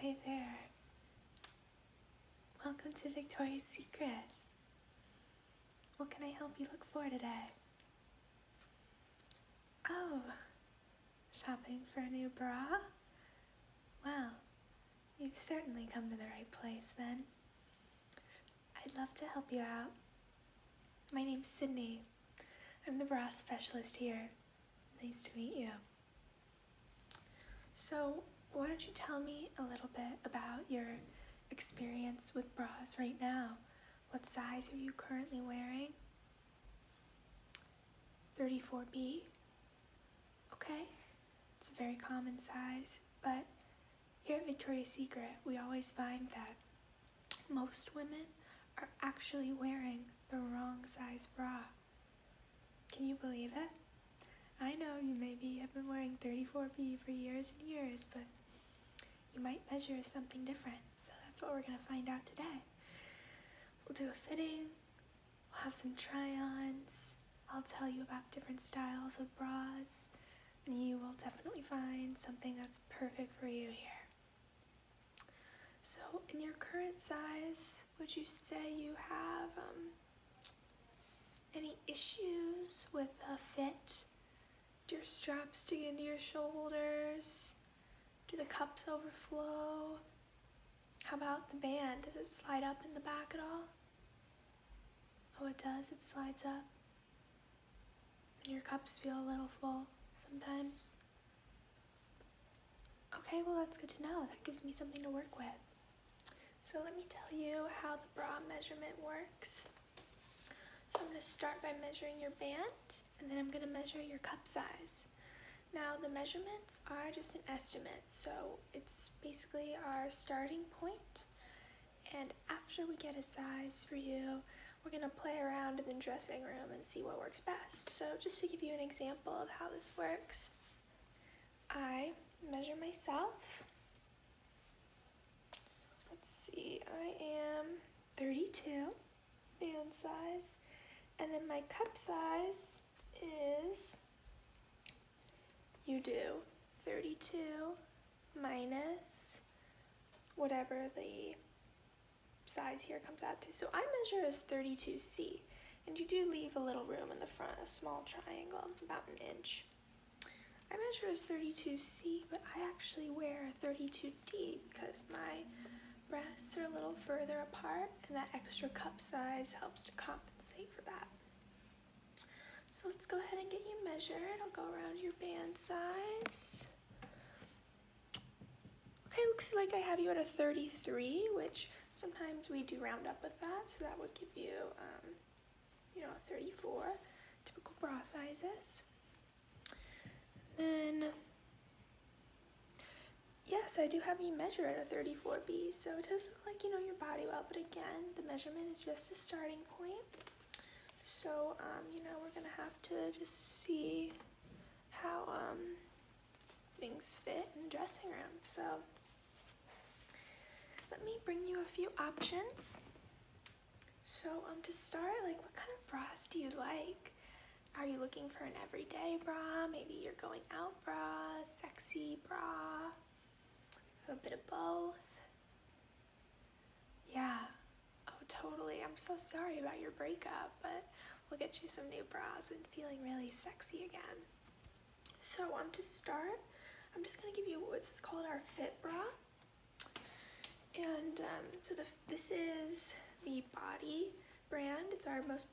Hi there. Welcome to Victoria's Secret. What can I help you look for today? Oh, shopping for a new bra? Well, you've certainly come to the right place then. I'd love to help you out. My name's Sydney. I'm the bra specialist here. Nice to meet you. So, why don't you tell me a little bit about your experience with bras right now? What size are you currently wearing? 34B. Okay, it's a very common size, but here at Victoria's Secret, we always find that most women are actually wearing the wrong size bra. Can you believe it? I know you maybe have been wearing 34B for years and years, but you might measure something different, so that's what we're going to find out today. We'll do a fitting, we'll have some try-ons, I'll tell you about different styles of bras, and you will definitely find something that's perfect for you here. So in your current size, would you say you have um, any issues with a fit? Do your straps dig into your shoulders? Do the cups overflow? How about the band? Does it slide up in the back at all? Oh, it does. It slides up. And your cups feel a little full sometimes. Okay, well that's good to know. That gives me something to work with. So let me tell you how the bra measurement works. So I'm going to start by measuring your band, and then I'm going to measure your cup size. Now the measurements are just an estimate, so it's basically our starting point, and after we get a size for you, we're going to play around in the dressing room and see what works best. So just to give you an example of how this works. I measure myself. Let's see, I am 32 man size, and then my cup size is, you do, 32 minus whatever the size here comes out to. So I measure as 32C, and you do leave a little room in the front, a small triangle, about an inch. I measure as 32C, but I actually wear 32D because my breasts are a little further apart, and that extra cup size helps to compensate for that. So let's go ahead and get you measured. I'll go around your band size. Okay, looks like I have you at a 33, which sometimes we do round up with that, so that would give you, um, you know, 34, typical bra sizes. then, yes, I do have you measure at a 34B, so it does look like you know your body well, but again, the measurement is just a starting point. So, um, you know, we're gonna have to just see how, um, things fit in the dressing room. So let me bring you a few options. So um, to start, like what kind of bra do you like? Are you looking for an everyday bra? Maybe you're going out bra, sexy bra, a bit of both. Yeah, oh totally. I'm so sorry about your breakup, but we'll get you some new bras and feeling really sexy again. So on um, to start, I'm just gonna give you what's called our fit bra. And um, so the, this is the Body brand. It's our most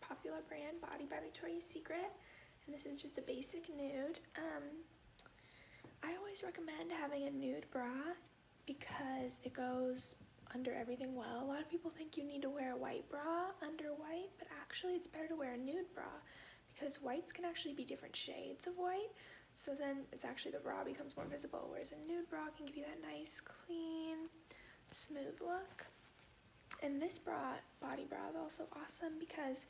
popular brand, Body by Victoria's Secret. And this is just a basic nude. Um, I always recommend having a nude bra because it goes under everything well. A lot of people think you need to wear a white bra under white, but actually it's better to wear a nude bra because whites can actually be different shades of white. So then it's actually the bra becomes more visible, whereas a nude bra can give you that nice, clean, smooth look. And this bra, body bra, is also awesome because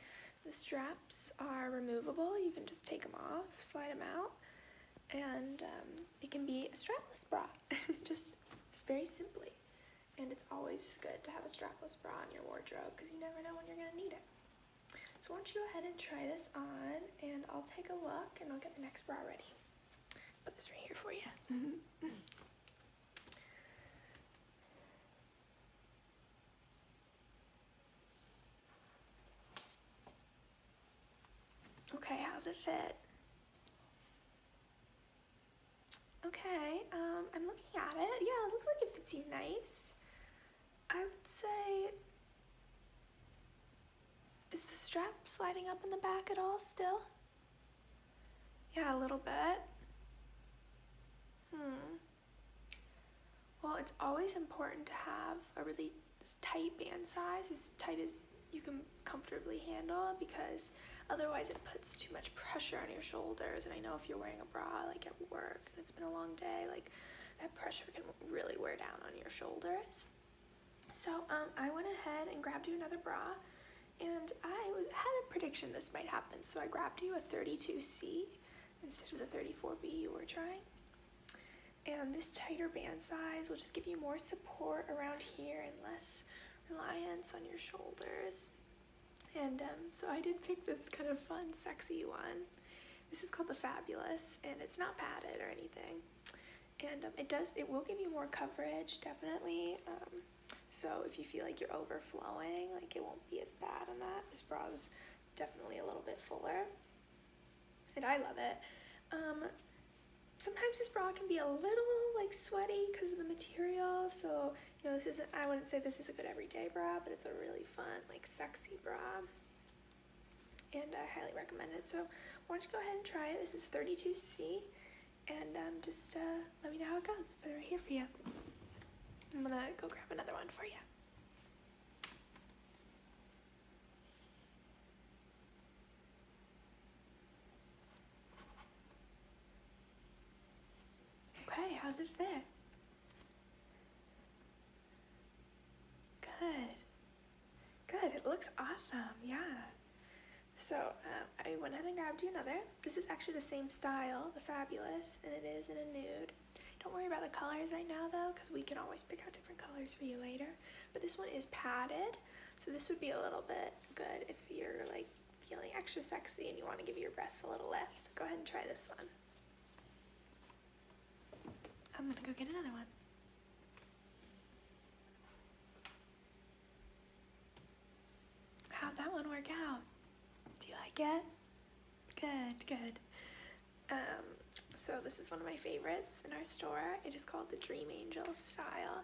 the straps are removable. You can just take them off, slide them out, and um, it can be a strapless bra, just very simply. And it's always good to have a strapless bra in your wardrobe because you never know when you're going to need it. So why don't you go ahead and try this on and I'll take a look and I'll get the next bra ready. Put this right here for you. okay, how's it fit? Okay, um, I'm looking at it. Yeah, it looks like it fits you nice. I would say, is the strap sliding up in the back at all still? Yeah, a little bit. Hmm. Well, it's always important to have a really tight band size, as tight as you can comfortably handle because otherwise it puts too much pressure on your shoulders and I know if you're wearing a bra like at work and it's been a long day like that pressure can really wear down on your shoulders so um, I went ahead and grabbed you another bra and I had a prediction this might happen so I grabbed you a 32C instead of the 34B you were trying and this tighter band size will just give you more support around here and less reliance on your shoulders. And um, so I did pick this kind of fun, sexy one. This is called the Fabulous, and it's not padded or anything. And um, it does, it will give you more coverage, definitely. Um, so if you feel like you're overflowing, like it won't be as bad on that. This bra is definitely a little bit fuller. And I love it sometimes this bra can be a little like sweaty because of the material so you know this isn't I wouldn't say this is a good everyday bra but it's a really fun like sexy bra and I highly recommend it so why don't you go ahead and try it this is 32C and um, just uh, let me know how it goes but am right here for you I'm gonna go grab another one for you Okay, how's it fit? Good. Good, it looks awesome, yeah. So um, I went ahead and grabbed you another. This is actually the same style, the Fabulous, and it is in a nude. Don't worry about the colors right now though, because we can always pick out different colors for you later. But this one is padded, so this would be a little bit good if you're like feeling extra sexy and you want to give your breasts a little lift. So go ahead and try this one. I'm gonna go get another one. How'd that one work out? Do you like it? Good, good. Um, so this is one of my favorites in our store. It is called the Dream Angel Style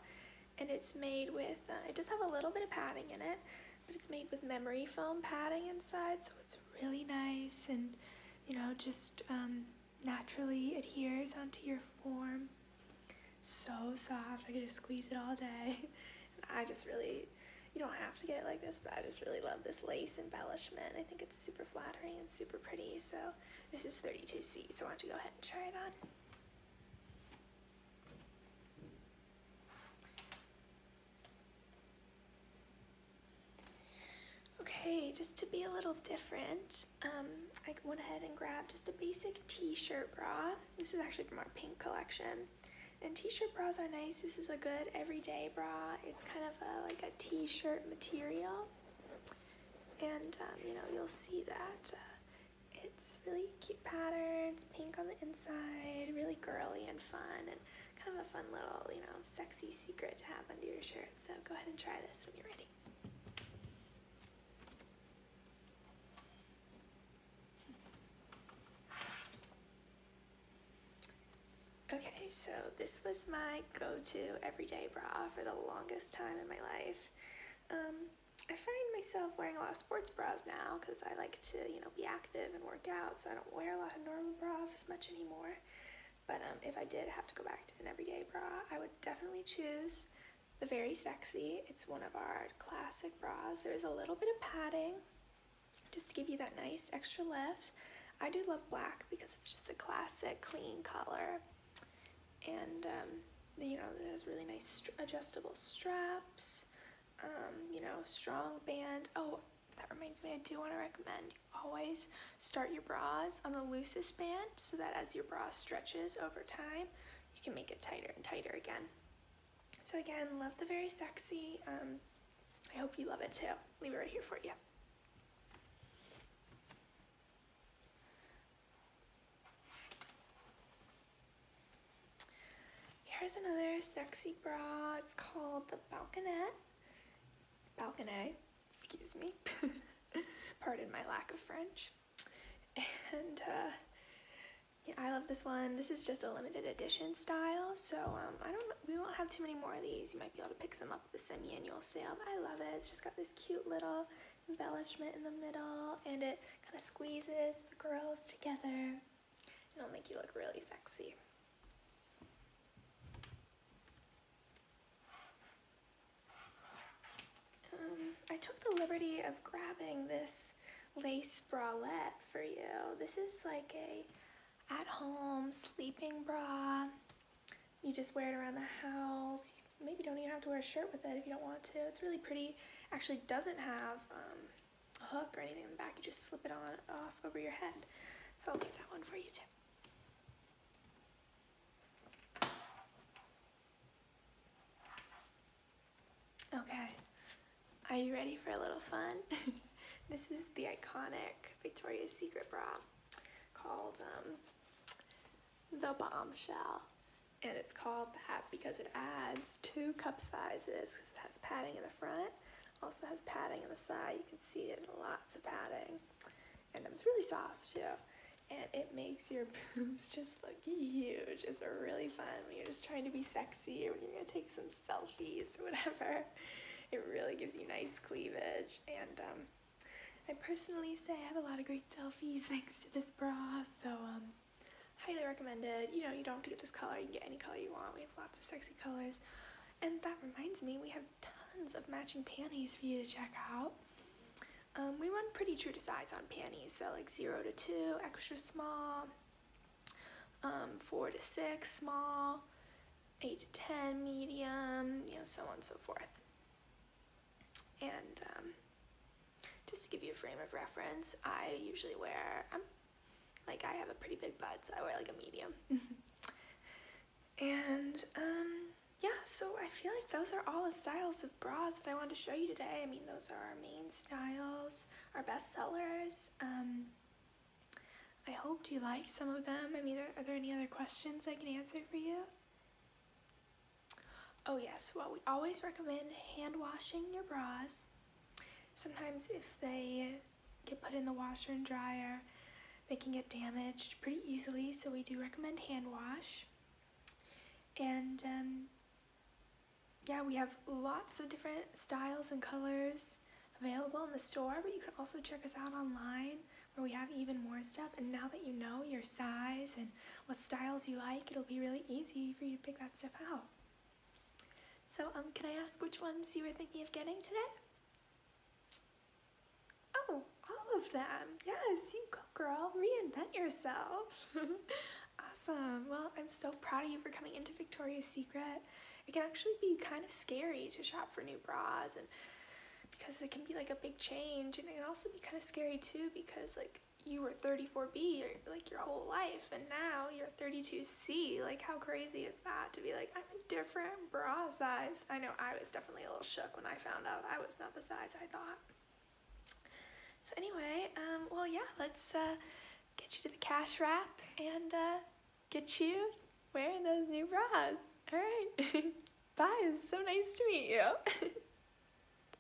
and it's made with, uh, it does have a little bit of padding in it, but it's made with memory foam padding inside, so it's really nice and, you know, just um, naturally adheres onto your form. So soft, I could just squeeze it all day. I just really, you don't have to get it like this, but I just really love this lace embellishment. I think it's super flattering and super pretty, so this is 32C, so why don't you go ahead and try it on. Okay, just to be a little different, um, I went ahead and grabbed just a basic t-shirt bra. This is actually from our pink collection. And t-shirt bras are nice. This is a good everyday bra. It's kind of a, like a t-shirt material. And, um, you know, you'll see that uh, it's really cute patterns, pink on the inside, really girly and fun, and kind of a fun little, you know, sexy secret to have under your shirt. So go ahead and try this when you're ready. Okay, so this was my go-to everyday bra for the longest time in my life. Um, I find myself wearing a lot of sports bras now because I like to, you know, be active and work out, so I don't wear a lot of normal bras as much anymore. But um, if I did have to go back to an everyday bra, I would definitely choose the Very Sexy. It's one of our classic bras. There's a little bit of padding just to give you that nice extra lift. I do love black because it's just a classic, clean color and um, you know it has really nice adjustable straps um, you know strong band oh that reminds me i do want to recommend always start your bras on the loosest band so that as your bra stretches over time you can make it tighter and tighter again so again love the very sexy um, i hope you love it too leave it right here for you Here's another sexy bra. It's called the Balconette. Balconet, excuse me. Pardon my lack of French. And uh, yeah, I love this one. This is just a limited edition style, so um, I don't. We won't have too many more of these. You might be able to pick some up at the semi-annual sale. But I love it. It's just got this cute little embellishment in the middle and it kind of squeezes the girls together. It'll make you look really sexy. Um, I took the liberty of grabbing this lace bralette for you. This is like a at-home sleeping bra. You just wear it around the house maybe don't even have to wear a shirt with it if you don't want to. It's really pretty. Actually doesn't have um, a hook or anything in the back. You just slip it on off over your head. So I'll leave that one for you too. Okay, are you ready for a little fun? this is the iconic Victoria's Secret bra called um, the Bombshell and it's called that because it adds two cup sizes because it has padding in the front also has padding in the side you can see it lots of padding and it's really soft too and it makes your boobs just look huge it's really fun when you're just trying to be sexy or when you're gonna take some selfies or whatever it really gives you nice cleavage and um, I personally say I have a lot of great selfies thanks to this bra so um, highly recommended. You know, you don't have to get this color, you can get any color you want. We have lots of sexy colors. And that reminds me, we have tons of matching panties for you to check out. Um, we run pretty true to size on panties, so like 0 to 2, extra small, um, 4 to 6, small, 8 to 10, medium, you know, so on and so forth. And um, just to give you a frame of reference, I usually wear, i um, like I have a pretty big butt, so I wear like a medium. and um, yeah, so I feel like those are all the styles of bras that I wanted to show you today. I mean, those are our main styles, our best sellers. Um, I hope you like some of them. I mean, are there any other questions I can answer for you? Oh yes, well we always recommend hand washing your bras. Sometimes if they get put in the washer and dryer, they can get damaged pretty easily, so we do recommend hand wash. And um, yeah, we have lots of different styles and colors available in the store, but you can also check us out online where we have even more stuff. And now that you know your size and what styles you like, it'll be really easy for you to pick that stuff out. So, um, can I ask which ones you were thinking of getting today? Oh, all of them. Yes, you go, girl. Reinvent yourself. awesome. Well, I'm so proud of you for coming into Victoria's Secret. It can actually be kind of scary to shop for new bras and because it can be like a big change and it can also be kind of scary too because like you were 34B like your whole life and now you're 32C. Like how crazy is that to be like I'm a different bra size. I know I was definitely a little shook when I found out I was not the size I thought. So anyway, um, well yeah, let's uh, get you to the cash wrap and uh, get you wearing those new bras. All right. Bye. It's so nice to meet you.